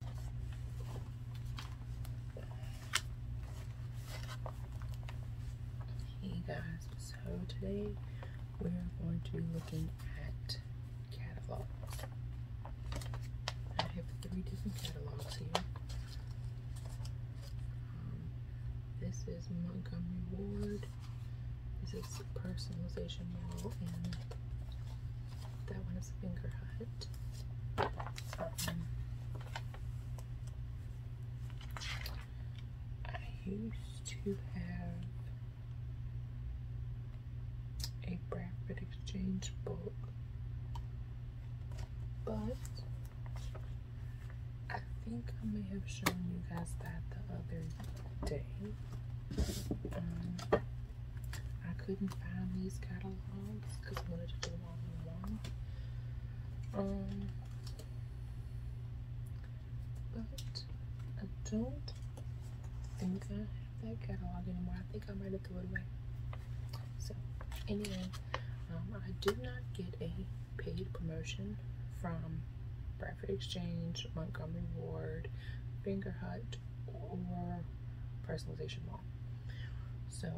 Hey guys, so today we're going to be looking at catalogs. I have three different catalogs here. Um, this is Montgomery Ward. This is Personalization Mall, and that one is a finger hut. Um, I used to have a Bradford Exchange book, but I think I may have shown you guys that the other day. Um, I couldn't find these catalogs because I wanted to do them all in one. Um, but I don't think I have that catalog anymore. I think I might have threw it away. So, anyway, um, I did not get a paid promotion from Bradford Exchange, Montgomery Ward, Fingerhut, or Personalization Mall. So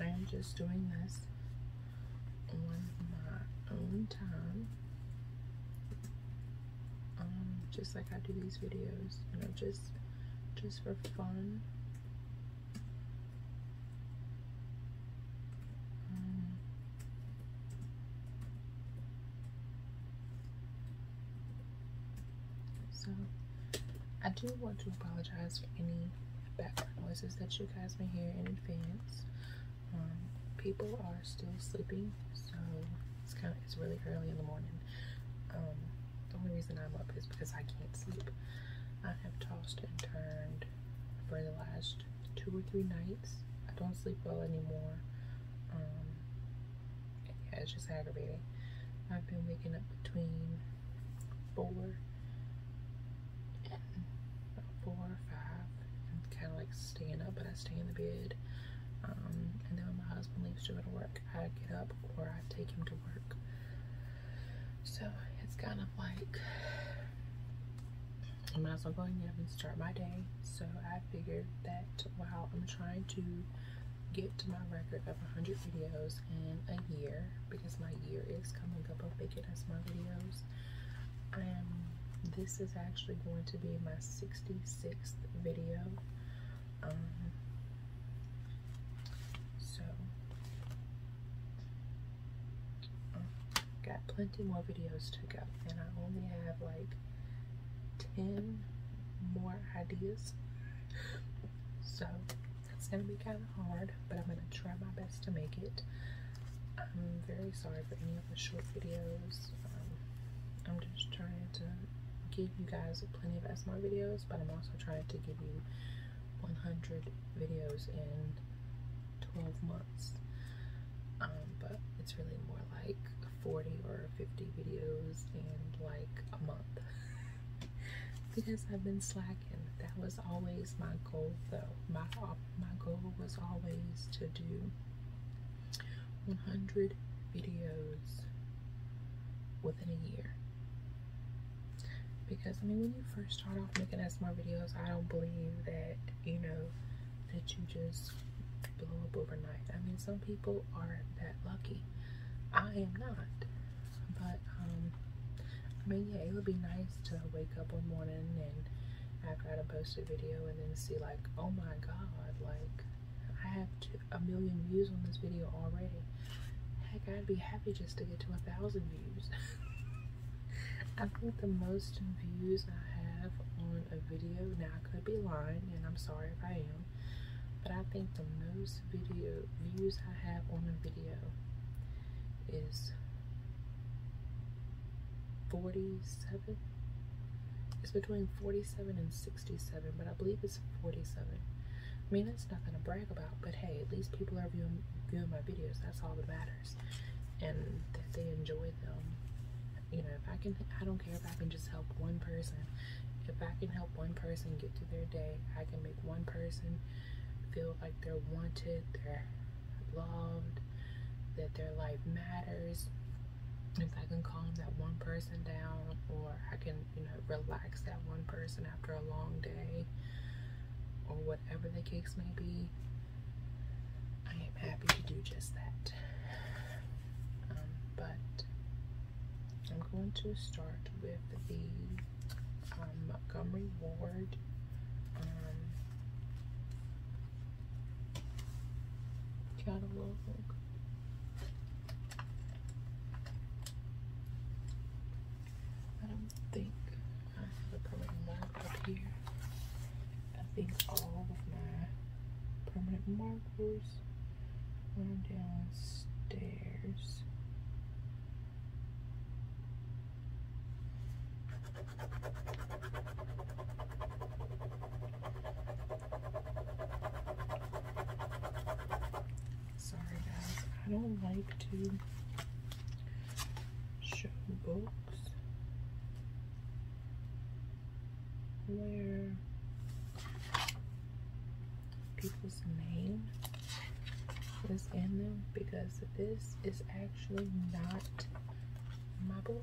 I am just doing this on my own time. Um, just like I do these videos, you know, just just for fun. Um, so I do want to apologize for any background noises that you guys may hear in advance. Um, people are still sleeping, so it's kind of it's really early in the morning. Um, the only reason I'm up is because I can't sleep. I have tossed and turned for the last two or three nights. I don't sleep well anymore. Um, it's just aggravating. I've been waking up between four and four or 5 and kind of like staying up, but I stay in the bed. Um, and then when my husband leaves to go to work, I get up or I take him to work. So it's kind of like I might as well go ahead and start my day. So I figured that while I'm trying to get to my record of 100 videos in a year because my year is coming up. I'm making as my videos. and um, This is actually going to be my 66th video. Um, so um, got plenty more videos to go, and I only have like 10 more ideas. So that's gonna be kind of hard, but I'm gonna try my best to make it. I'm very sorry for any of the short videos. Um, I'm just trying to give you guys plenty of ASMR videos, but I'm also trying to give you 100 videos in 12 months. Um, but it's really more like 40 or 50 videos in like a month because I've been slacking. That was always my goal though. My, my goal was always to do 100 videos within a year. Because, I mean, when you first start off making us more videos, I don't believe that, you know, that you just blow up overnight. I mean, some people are that lucky. I am not. But um, I mean, yeah, it would be nice to wake up one morning and after I done posted a video and then see like, oh my god, like I have a million views on this video already. Heck, I'd be happy just to get to a thousand views. I think the most views I have on a video, now could be lying and I'm sorry if I am, but I think the most video views I have on a video is 47. It's between 47 and 67, but I believe it's 47. I mean, that's nothing to brag about, but hey, at least people are viewing, viewing my videos. That's all that matters. And that they enjoy them. You know, if I can, I don't if I can just help one person. If I can help one person get through their day, I can make one person feel like they're wanted, they're loved, that their life matters. If I can calm that one person down or I can, you know, relax that one person after a long day or whatever the case may be, I am happy to do just that. Um, but I'm going to start with the um, Montgomery Ward um, catalog. I don't think I have a permanent mark up here. I think all of my permanent marks goes downstairs. Sorry guys, I don't like to show books where people's name is in them because this is actually not my book.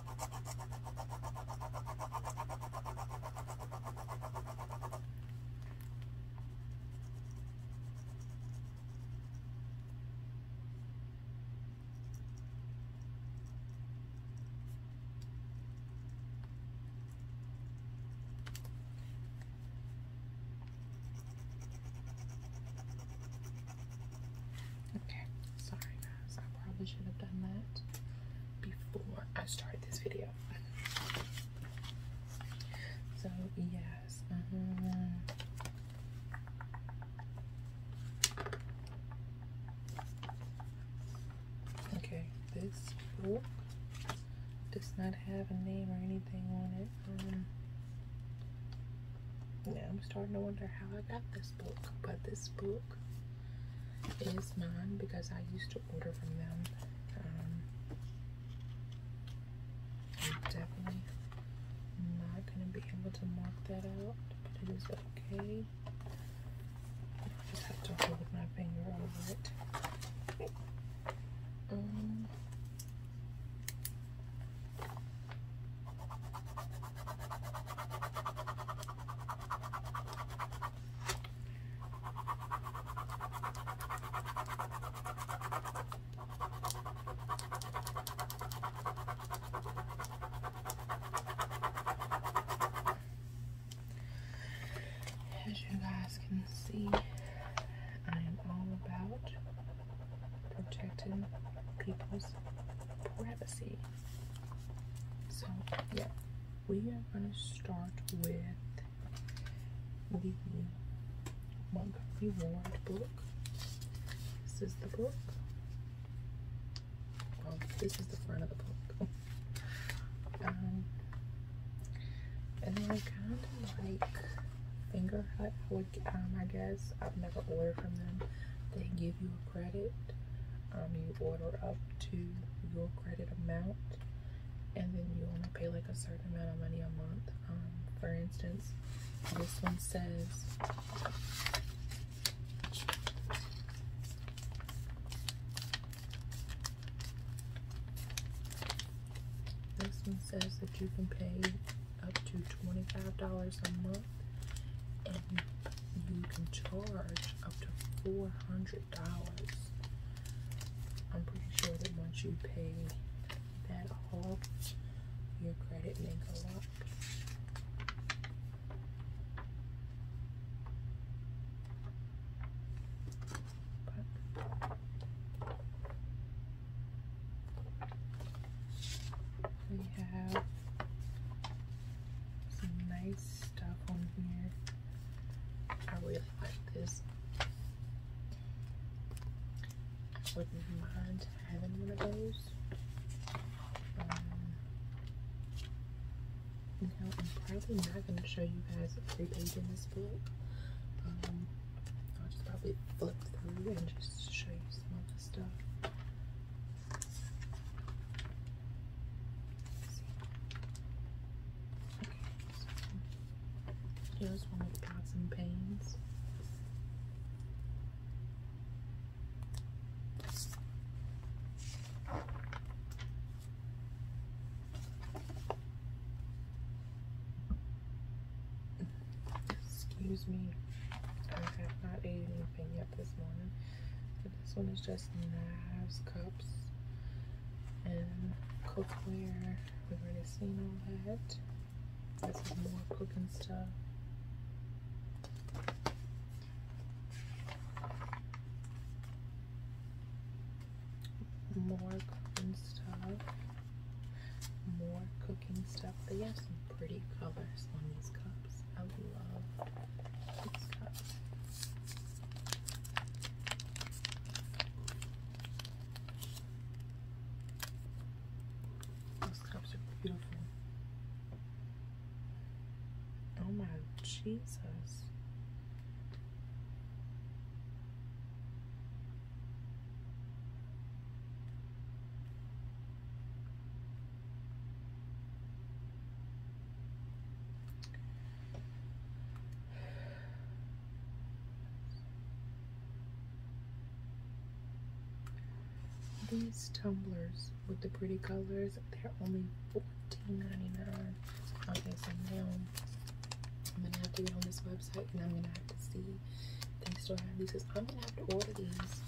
Okay, sorry eyebrows. I probably should have done that before I started this video. So yes. Uh-huh. Okay, this book does not have a name or anything on it. Yeah, um, I'm starting to wonder how I got this book, but this book is mine because I used to order from them. Um, I'm definitely not going to be able to mark that out, but it is okay. I just have to hold my finger over it. Um, as you guys can see, I am all about protecting people's privacy. So, yeah, we are going to start with the Montgomery Ward book. This is the book. Well, this is the front of the book. um, and then I kind of like Finger Hut, would, um, I guess. I've never ordered from them. They give you a credit um, you order up to your credit amount and then you want to pay like a certain amount of money a month um, for instance this one says this one says that you can pay up to $25 a month you can charge up to $400. I'm pretty sure that once you pay that off, your credit may go up. But we have some nice stuff on here. I really like this. I wouldn't mind having one of those. Um, now, I'm probably not going to show you guys every page in this book. Um, I'll just probably flip through and just show you some of the stuff. Here's one with pots and pans. Excuse me, I have not ate anything yet this morning this one is just knives, cups, and cookware. We've already seen all that. This is more cooking stuff. More cooking stuff. More cooking stuff. They have some pretty colors on these cups. I love food stuff. Those cups are beautiful. Oh my Jesus. These tumblers with the pretty colors, they're only $14.99. Okay, so now I'm gonna have to get on this website and I'm gonna have to see if they still have these. Cause I'm gonna have to order these.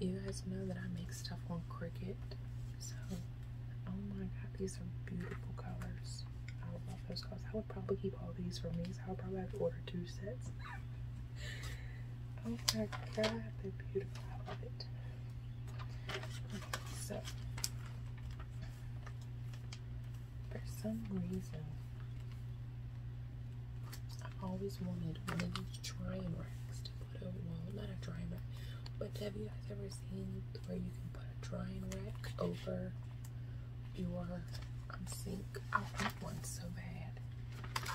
You guys know that I make stuff on Cricut, so Oh my god, these are beautiful colors. I love those colors. I would probably keep all these for me, so I would probably have to order two sets. oh my god, they're beautiful. I love it. so, for some reason, I have always wanted one of these trying racks to put a well, not a drying rack, but have you guys ever seen where you can put a drying rack over your um, sink? I want one so bad,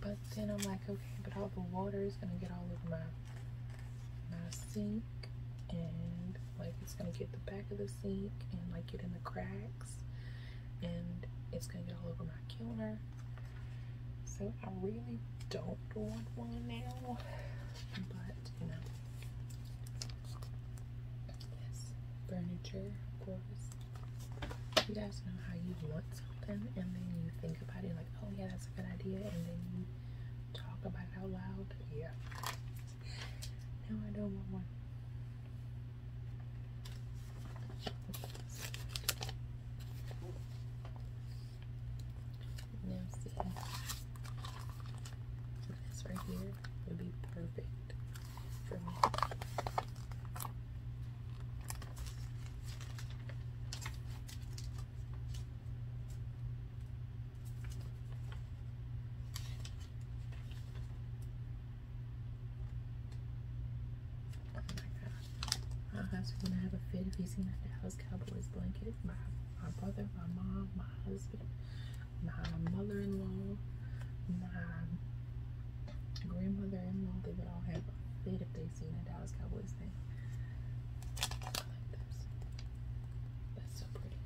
but then I'm like, okay, but all the water is gonna get all over my my sink, and like it's gonna get the back of the sink and like get in the cracks, and it's gonna get all over my counter. So I really don't want one now, but you know, yes, furniture, of course. You guys know how you want something and then you think about it like, oh yeah, that's a good idea, and then you talk about it out loud. Yeah. Now I don't want one. Now see, this right here would be perfect for me. Oh my gosh. Our house was gonna have a fit if he's seen a Dallas Cowboys blanket. My my brother, my mom, my husband, my mother-in-law, my grandmother-in-law, they would all have a fit if they seen a Dallas Cowboys thing. I like this. That's so pretty.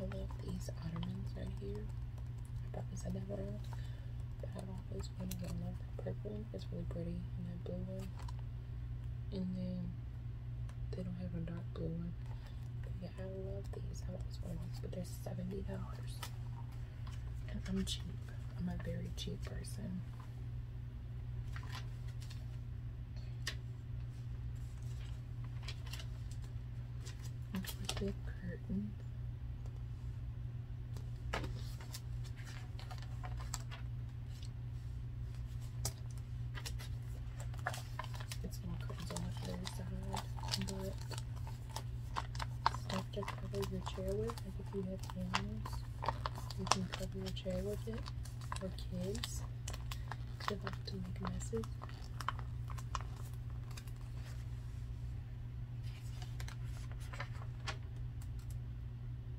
I love these ottomans right here. I probably said that wrong, but I've always wanted to purple one. It's really pretty. And that blue one. And then they don't have a dark blue one. yeah, I love these. I love these ones, but they're $70. And I'm cheap. I'm a very cheap person. With the curtain. It's more curtains on the side, but stuff cover your chair with, if you have animals, you can cover your chair with it, for kids, they love to make messes.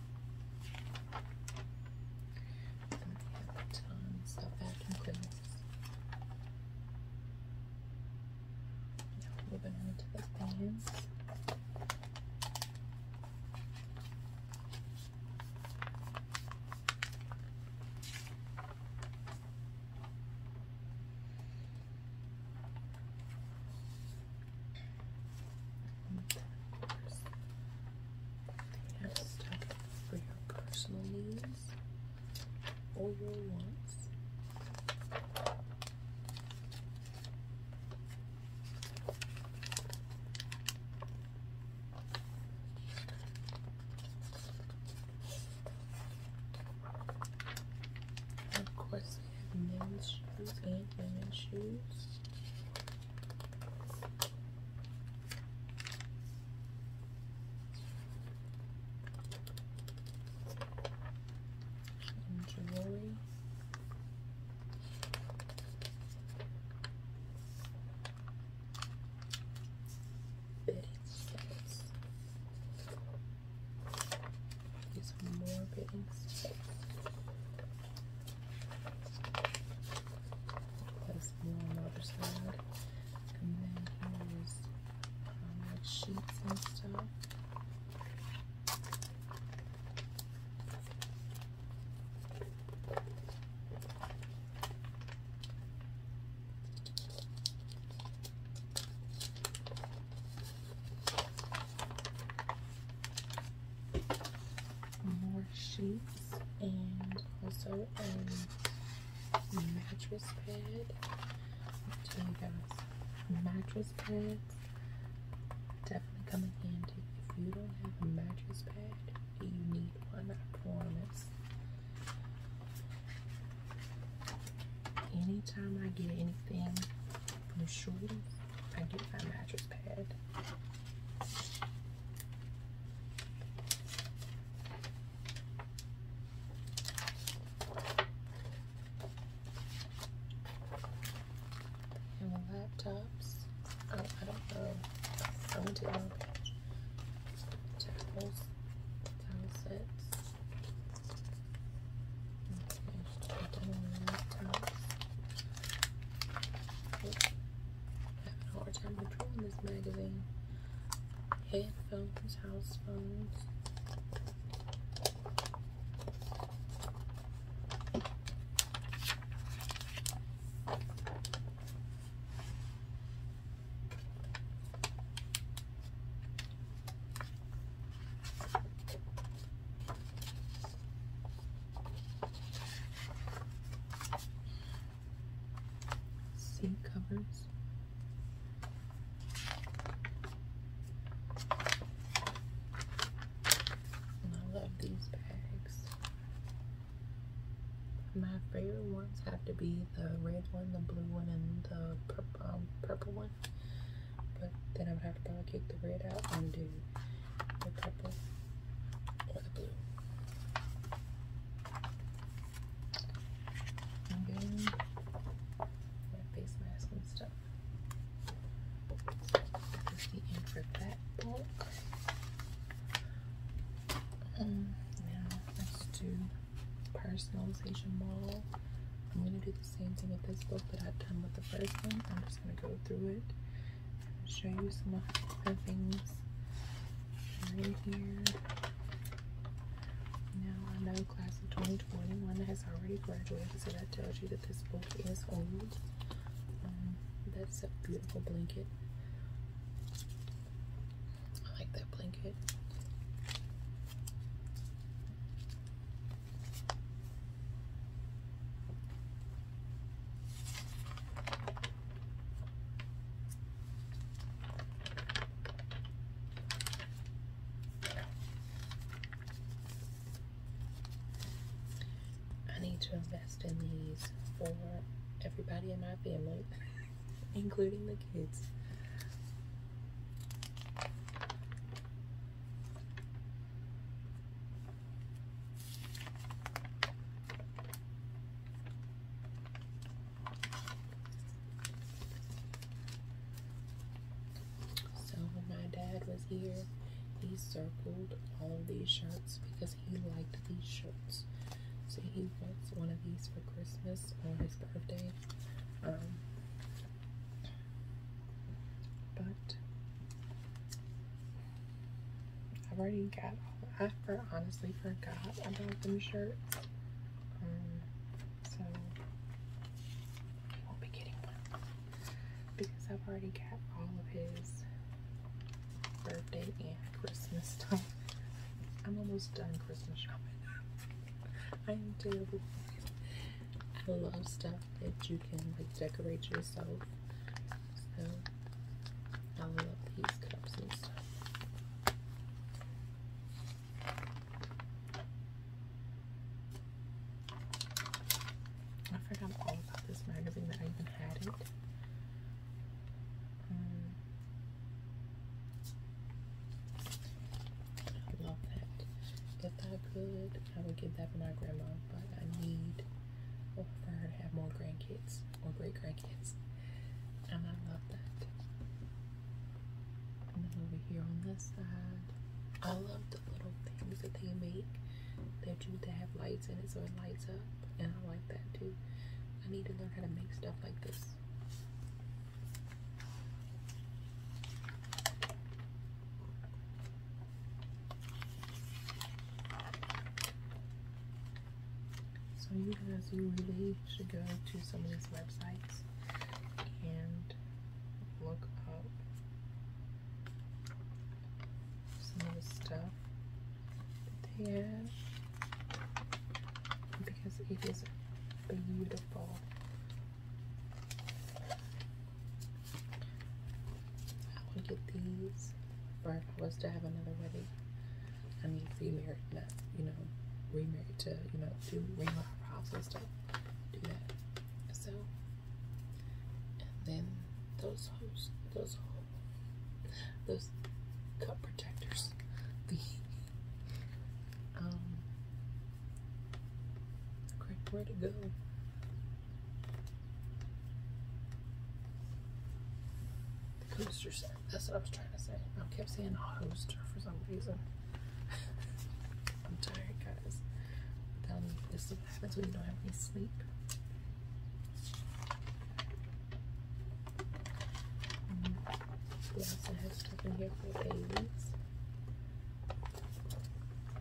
Stop vacuum cleaners. Now moving on to the fans. They stuff for your personal needs or your wants. Of course, they have men's shoes and women's shoes jewelry. Bedding sets. Get more bedding sets. Place blue on the other side. And then here is um, like sheets and stuff more sheets and also a mattress pad. tell you guys, mattress pads definitely come in If you don't have a mattress pad, you need one, I promise. Anytime I get anything from Shorty, I get my mattress pad. And the laptops. Oh, I don't know. I'm going to do all these. Towels. sets. laptops having a hard time controlling this magazine. Headphones, house phones sink covers. I love these bags. My favorite ones have to be the red one, the blue one, and the purple, um, purple one. But then I would have to probably the red out and do the purple or the blue. I'm my face mask and stuff. This the end for book. Um, now let's do personalization model. I'm going to do the same thing with this book that I've done with the first one. I'm just going to go through it show you some of the things right here. Now I know class of 2021 has already graduated, so that tells you that this book is old. Um, that's a beautiful blanket. I like that blanket. I need to invest in these for everybody in my family, including the kids. So when my dad was here, he circled all of these shirts because he liked these shirts. So he wants one of these for Christmas or his birthday. Um, but I've already got all I honestly forgot about them shirts. Um, so I won't be getting one. Because I've already got all of his birthday and Christmas stuff. I'm almost done Christmas shopping. I am terrible. I love stuff that you you can like decorate yourself. I love these cups and stuff. I forgot all about this random that I even had it. Um, I love that. If I could, I would give that to my grandma, but I need or for her to have more grandkids or great grandkids. And I love that. And then over here on this side, I love the little things that they make that you that have lights in it so it lights up. And I like that too. I need to learn how to make stuff like this. So you guys, you really should go to some of these websites and look up some of the stuff that because it is beautiful. I want to get these for if I was to have another wedding. I need to be married, not, you know, remarried to, you know, do ring eyebrows and stuff. Do that. So, and then those hose, those hose, those cup protectors. The, um, great, way to go? The coaster set. That's what I was trying to say. I kept saying hoster for some reason. I'm tired, guys. Um, this happens when you don't have any sleep. we also have stuff in here for babies.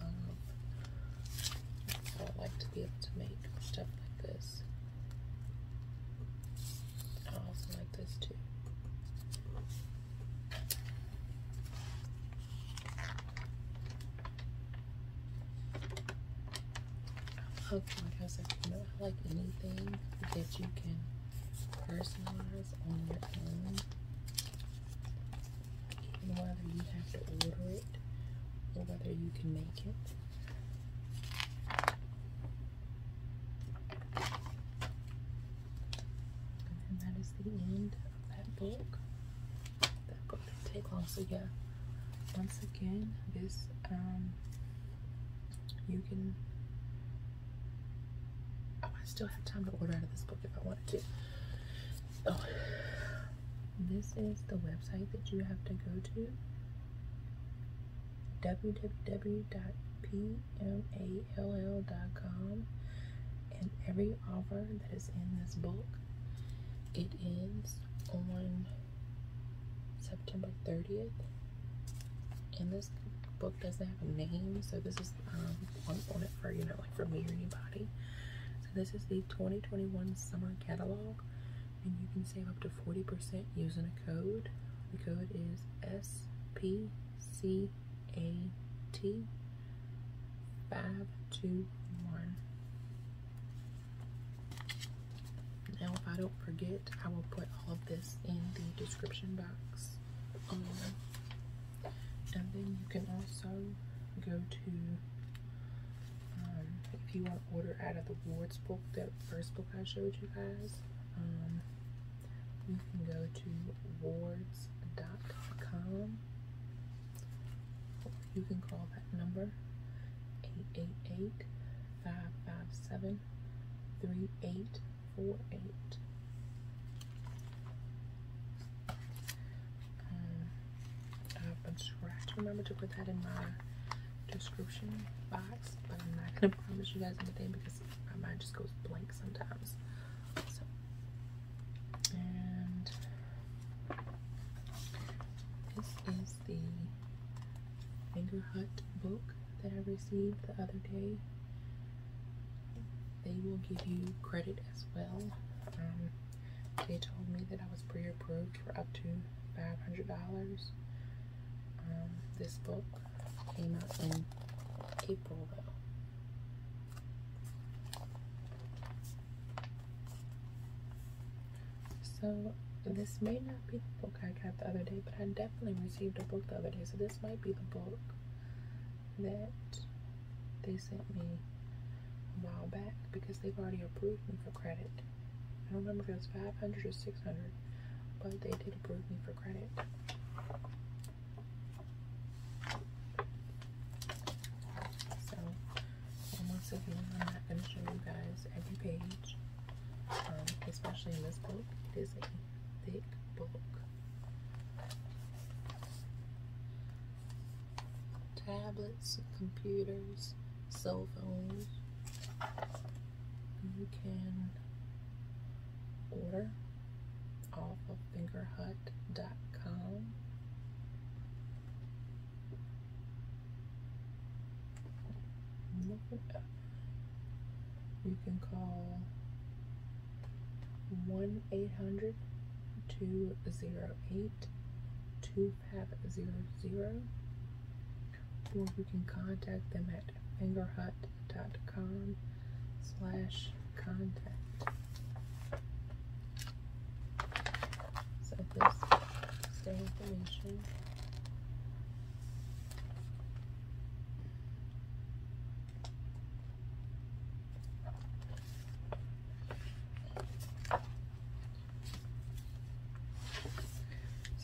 Um, I like to be able to make stuff like this. I also like this too. Oh, I like anything that you can personalize on your own whether you have to order it or whether you can make it. And that is the end of that book. That book didn't take long, so yeah. Once again, this um, you can. Oh, I still have time to order out of this book if I wanted to this is the website that you have to go to www.pmall.com and every offer that is in this book it ends on September 30th and this book doesn't have a name so this is um, on, on you know like for me or anybody this is the 2021 summer catalog, and you can save up to 40% using a code. The code is SPCAT. 521. Now, if I don't forget, I will put all of this in the description box. and then you can also go to um, if you want to order out of the Ward's book, that first book I showed you guys, um, you can go to wards.com. You can call that number eight eight eight five five seven three eight four eight. I've been trying to Remember to put that in my description box, but I'm not gonna promise you guys anything because my mind just goes blank sometimes. So, and this is the Finger Hut book that I received the other day. They will give you credit as well. Um, they told me that I was pre-approved for up to $500. Um, this book came out in April though. So this may not be the book I got the other day, but I definitely received a book the other day. So this might be the book that they sent me a while back because they've already approved me for credit. I don't remember if it was 500 or 600, but they did approve me for credit. So, once again, I'm not going to show you guys every page, um, especially in this book. It is a thick book tablets, computers, cell phones. You can order off of fingerhut.com. You can call 1 800 208 two have zero zero, or you can contact them at fingerhut.com slash contact. So this is their information.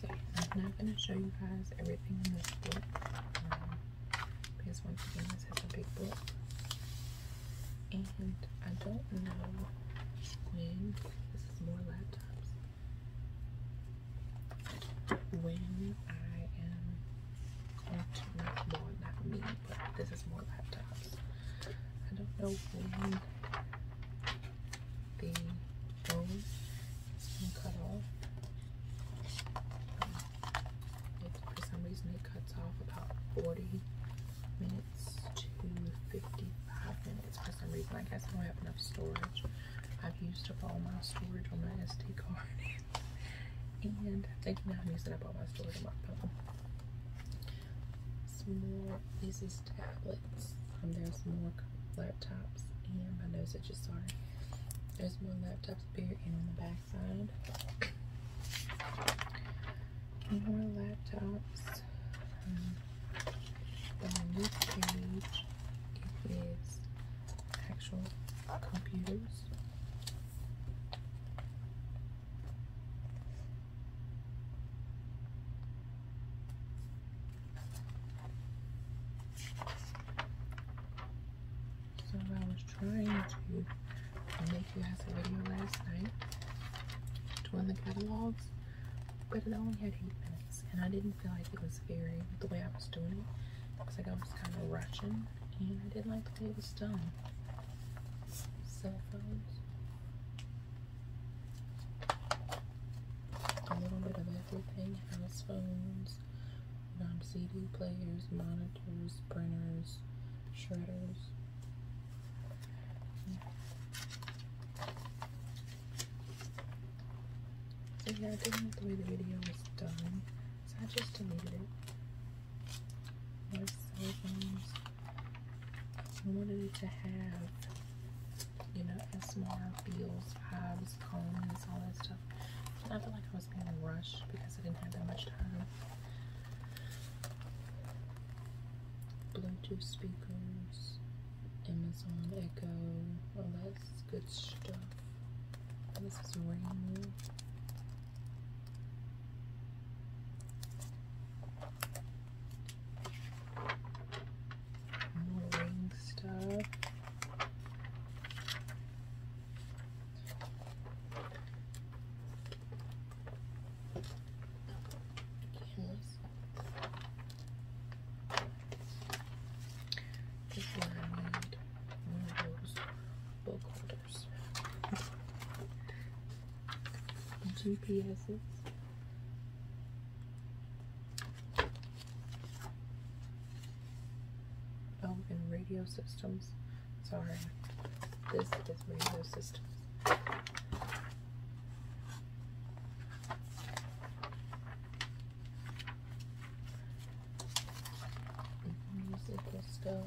So I'm not going to show you guys everything in this book. Um, because once again, this is a big book. And I don't know when, this is more laptops, when I am going to, not more, not me, this is more laptops. I don't know when the phone is going to cut off. for some reason, it cuts off about 40 minutes to 55 minutes. For some reason, I guess I don't have enough storage. I've used up all my storage on my SD card. and I think now I'm using up all my storage on my phone. Um, more. This tablets. there's more laptops. And my nose just Sorry. There's more laptops here in the backside. side. More laptops. Um, on this page, it is actual computers. So I was trying to make you guys a video last night doing the catalogs, but it only had eight minutes, and I didn't feel like it was very the way I was doing it. It was like I was kind of rushing, and I didn't like the way it was done. Cell phones. A little bit of everything house phones, non CD players, monitors, printers, shredders. So, yeah, I didn't like the way the video was done, so I just deleted it. There's phones. I wanted it to have, you know, SMR feels, vibes, tones, all that stuff. And I felt like I was being rushed because I didn't have that much time. Bluetooth speakers, Amazon Echo, all that's good stuff. this is rain. Ring stuff. Cameras. This one of those book holders. GPSs. Oh, and radio systems. Sorry. This is radio systems. Musical stove.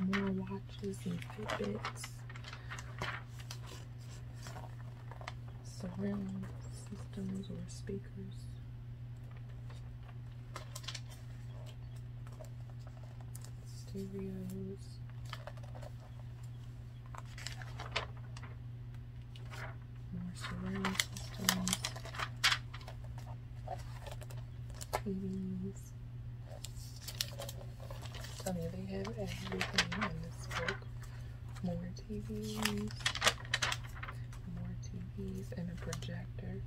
More watches and Fitbits. Surround systems or speakers. Stereos. More surround systems. TVs. So yeah, they have everything in this book. More TVs. More TVs and a projector.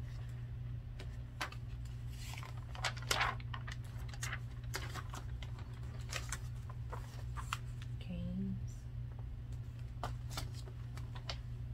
games.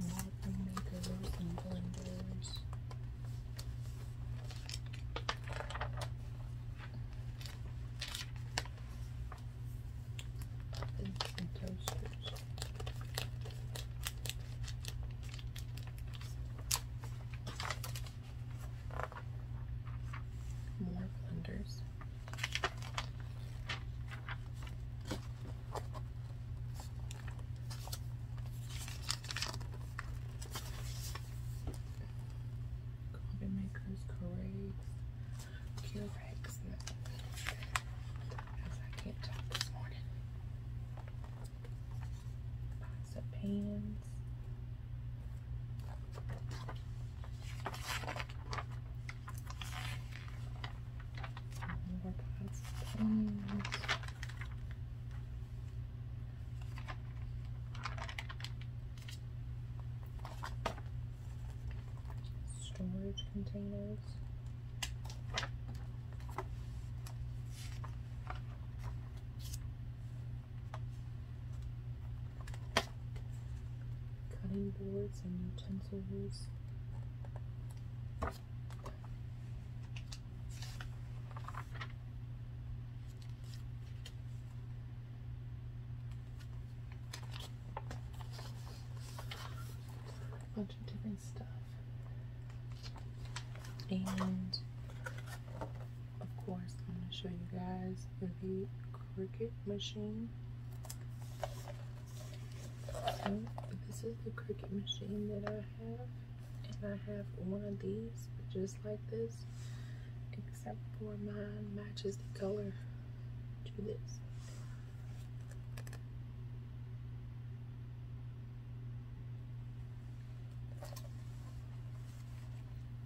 Modeling makers and blenders. And toasters. More blenders. Coffee makers, Corregs, Curex, as I can't talk this morning. Pots of pans storage containers cutting boards and utensils. A bunch of different stuff. And of course, I'm going to show you guys is the Cricut machine. this is the Cricut machine that I have. And I have one of these just like this. Except for mine matches the color to this.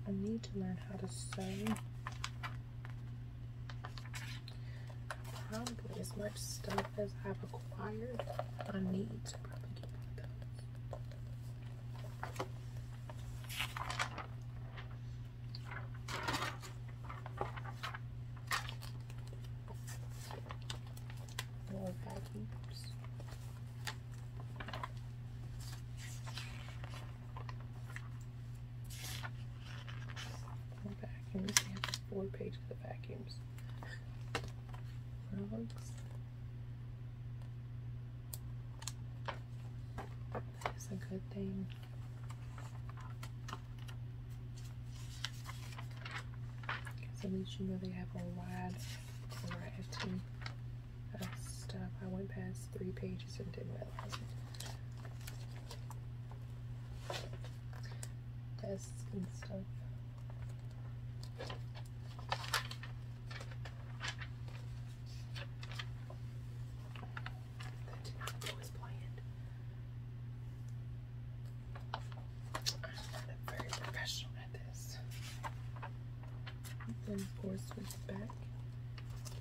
I need to learn how to sew Probably as much stuff as I've acquired, I need to probably get one of those. More vacuums. Vacuum. This man has four pages of vacuums. Rugs. That is a good thing. at least you know they have a wide variety of stuff. I went past three pages and didn't realize it. Tests and stuff. That did not go as planned. I'm not very professional at this. Then, of course, back,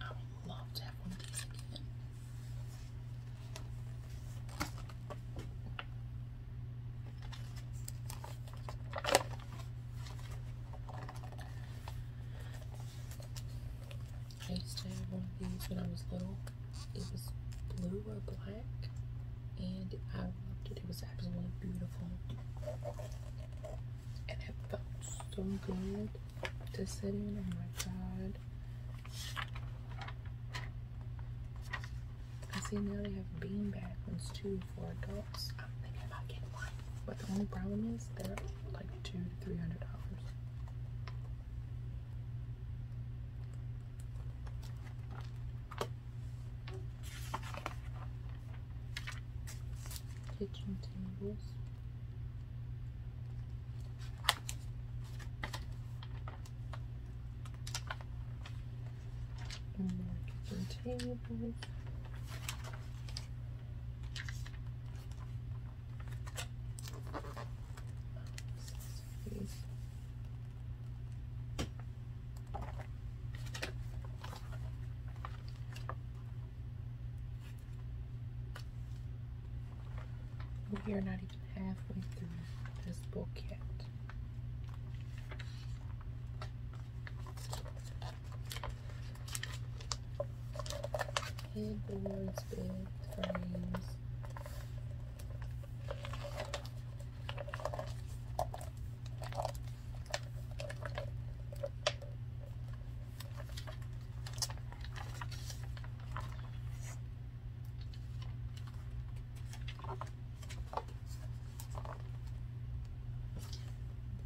I would love to have one of these again. I used to have one of these when I was little. It was blue or black and I loved it. It was absolutely beautiful, and it felt so good to sit in. Oh my god! I see now they have beanbag ones too for adults. I'm thinking about getting one, but the only problem is they're like two to three hundred dollars kitchen tables. more kitchen tables. We are not even halfway through this book yet. Headboards, bed frames.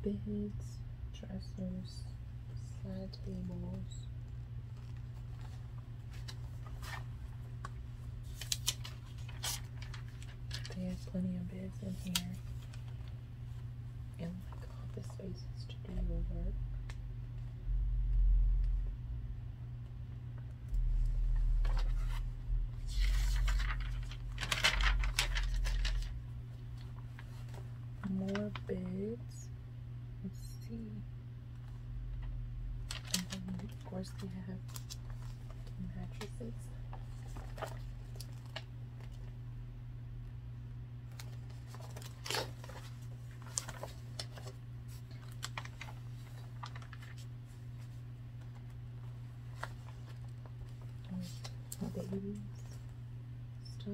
Beads, dressers, side tables. They have plenty of beds in here. And like all the spaces to do your work. More beds. Let's see. And then of course they have mattresses. Babies stuff,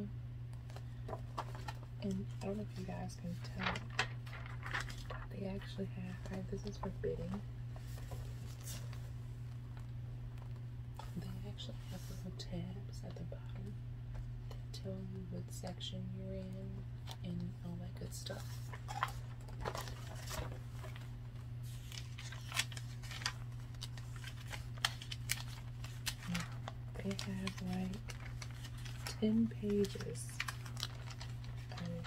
and I don't know if you guys can tell, they actually have. this is for fitting. They actually have little tabs at the bottom that tell you what section you're in and all that good stuff. They have like 10 pages of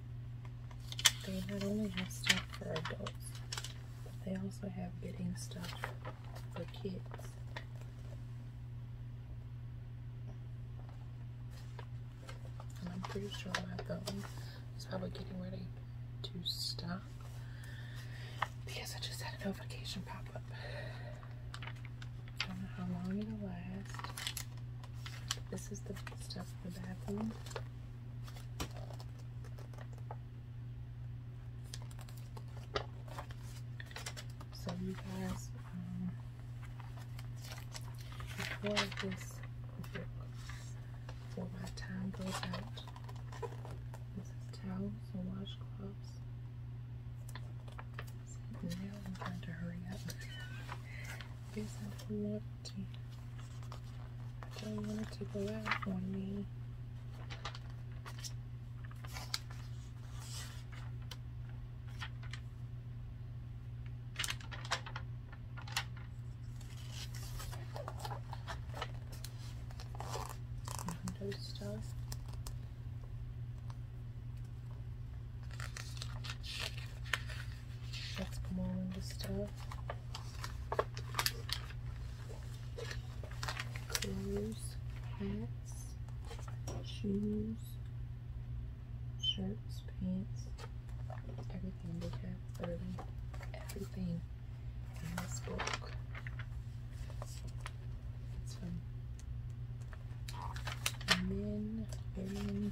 They not only have stuff for adults, but they also have bedding stuff for kids. I'm pretty sure my phone is probably getting ready to stop because I just had a notification pop up. I don't know how long it'll last. This is the stuff in the bathroom. So you guys, before um, this, before my time goes out, this is towels and washcloths. See, I'm trying to hurry up. Here's how to I don't want it to go out on me. Stuff. That's mom the stuff. Uh, clothes, hats, shoes, shirts, pants, everything they have early, everything in this book. It's from men, women,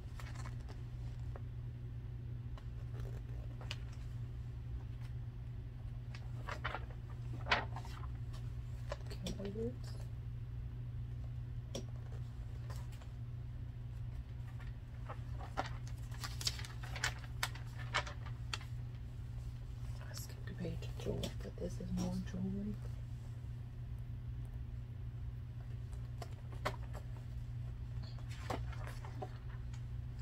I skipped a page of jewelry, but this is more jewelry.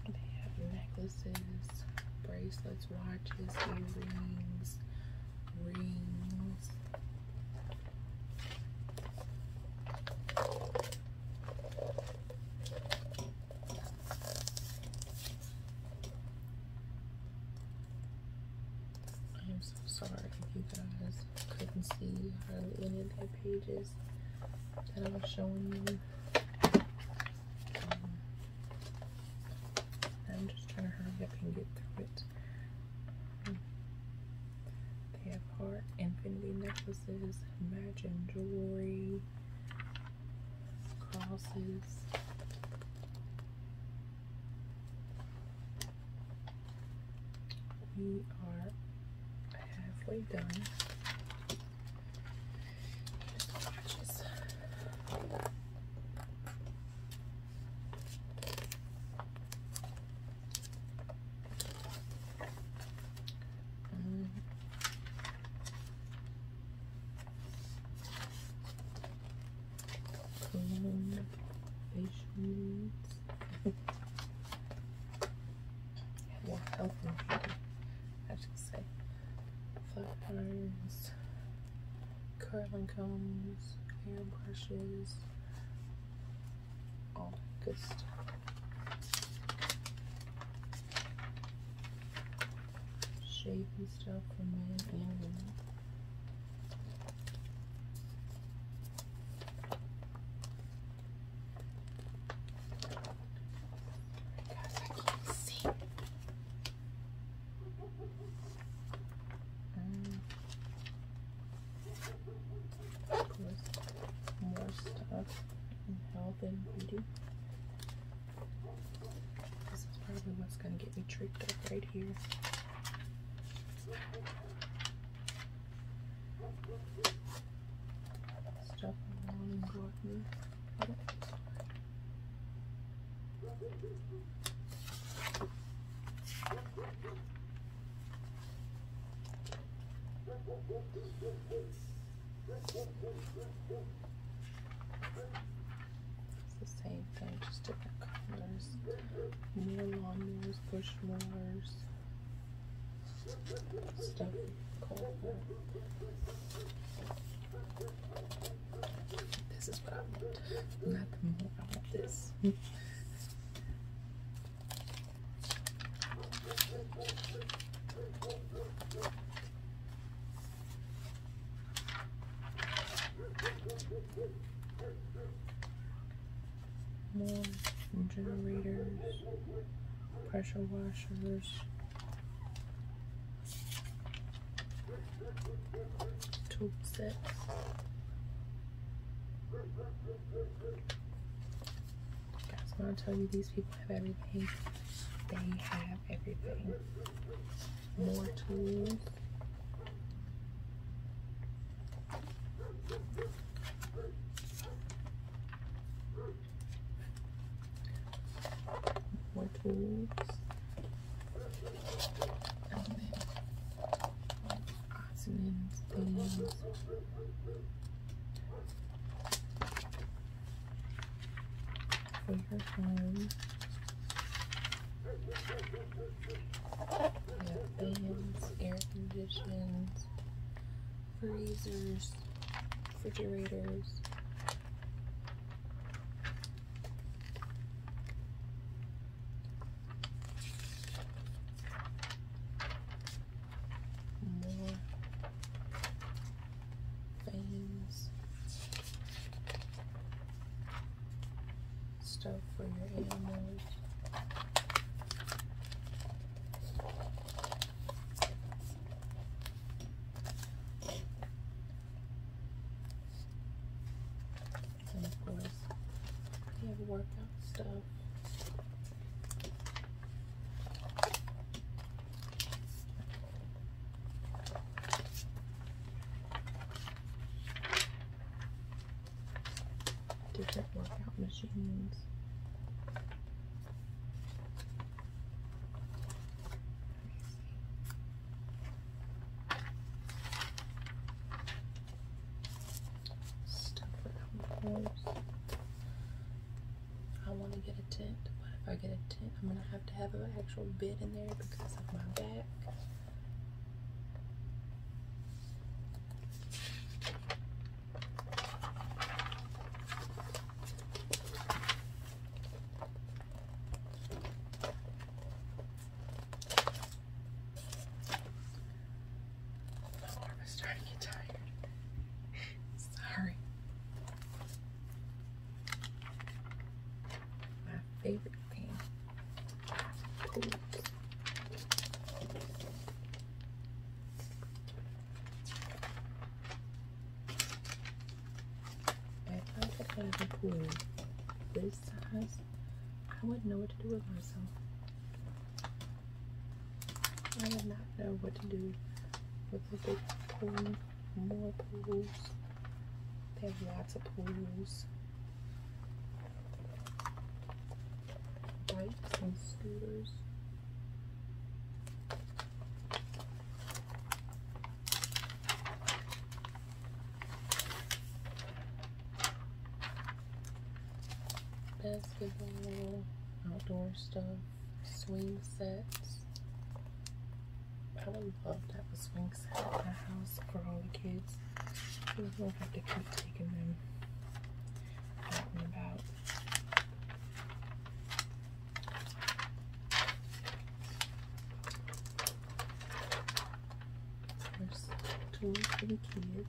They have necklaces, bracelets, watches, earrings, rings. I am so sorry if you guys couldn't see any of the pages that I was showing you. Um, I'm just trying to hurry up and get through it. They have heart, infinity necklaces, imagine jewelry, crosses we are halfway done. Here's watches. Mm. Cologne, more health and beauty, I should say. Flat irons, curling combs, hair brushes, all that good stuff. Shaving stuff for men and women. Guys, I can't see. Um, more stuff in health and beauty. This is probably what's gonna get me tripped up right here. Stop rolling Gordon. It's the same thing, just different colors. More lawnmowers, push mowers. This is what I want. Not more I want this more generators, pressure washers, tool sets. That's when I tell you these people have everything. They have everything. More tools. More tools. And things. For your home. air conditionings freezers, refrigerators. More fans, stuff for your animals. And of course, You have workout stuff different workout machines. Stuff without holes. I want to get a tent. but if I get a tent? I'm gonna have to have an actual bed in there because of my back. My arm is starting to get tired. Sorry. My favorite thing. If I took a pool this size, I wouldn't know what to do with myself. I would not know what to do with a big pool, more pools. They have lots of pools bikes and scooters. Basketball, outdoor stuff, swing sets. I would love to have a swing set at my house for all the kids. We'll have to keep taking them out and about. There's tools for the kids.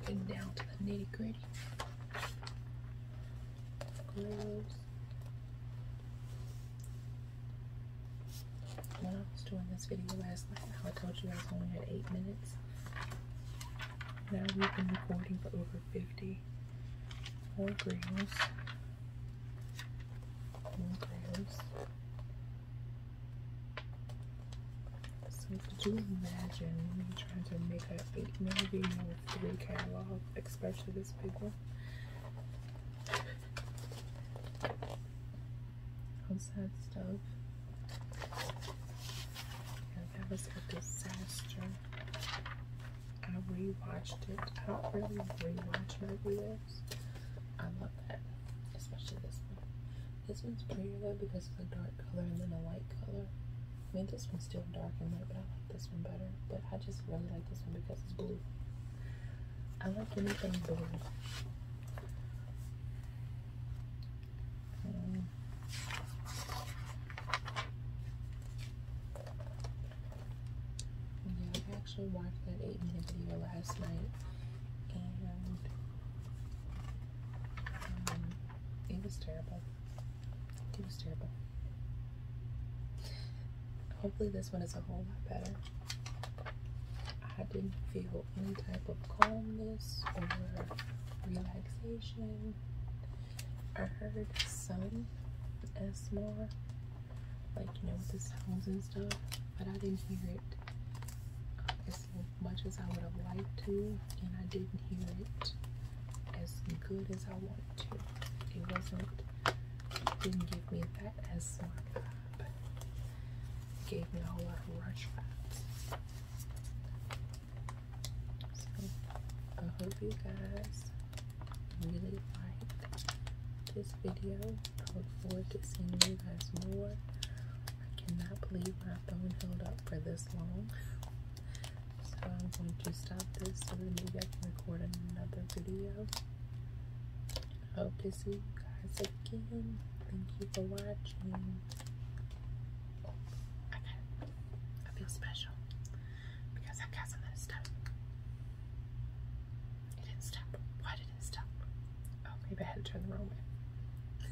Getting down to the nitty gritty. Gloves. When I was doing this video last night, I told you guys I only had 8 minutes. Now we've been recording for over 50 more grams. More grams. So could you imagine me trying to make a three catalog, especially this big one? What's that stuff? that was a disaster. I rewatched it. I don't really rewatch my videos. I love that, especially this one. This one's prettier though because it's a dark color and then a light color. I mean, this one's still dark and light, but I like this one better. But I just really like this one because it's blue. I like anything blue. Um, yeah, I actually watched that 8 minute video last night and um, um, it was terrible. It was terrible. Hopefully, this one is a whole lot better. I didn't feel any type of calmness or relaxation. I heard some ASMR, like you know, what this sounds and stuff, but I didn't hear it as much as I would have liked to, and I didn't hear it as good as I wanted to. It wasn't, didn't give me that as much. vibe. It gave me a whole lot of rush vibes. So, I hope you guys really liked this video. I look forward to seeing you guys more I cannot believe my phone held up for this long. So I'm going to stop this so that maybe I can record another video. I hope to see you guys again. Thank you for watching. Oh, I feel special because I got something to stop. It didn't stop. Why did it stop? Oh, maybe I had to turn the wrong way.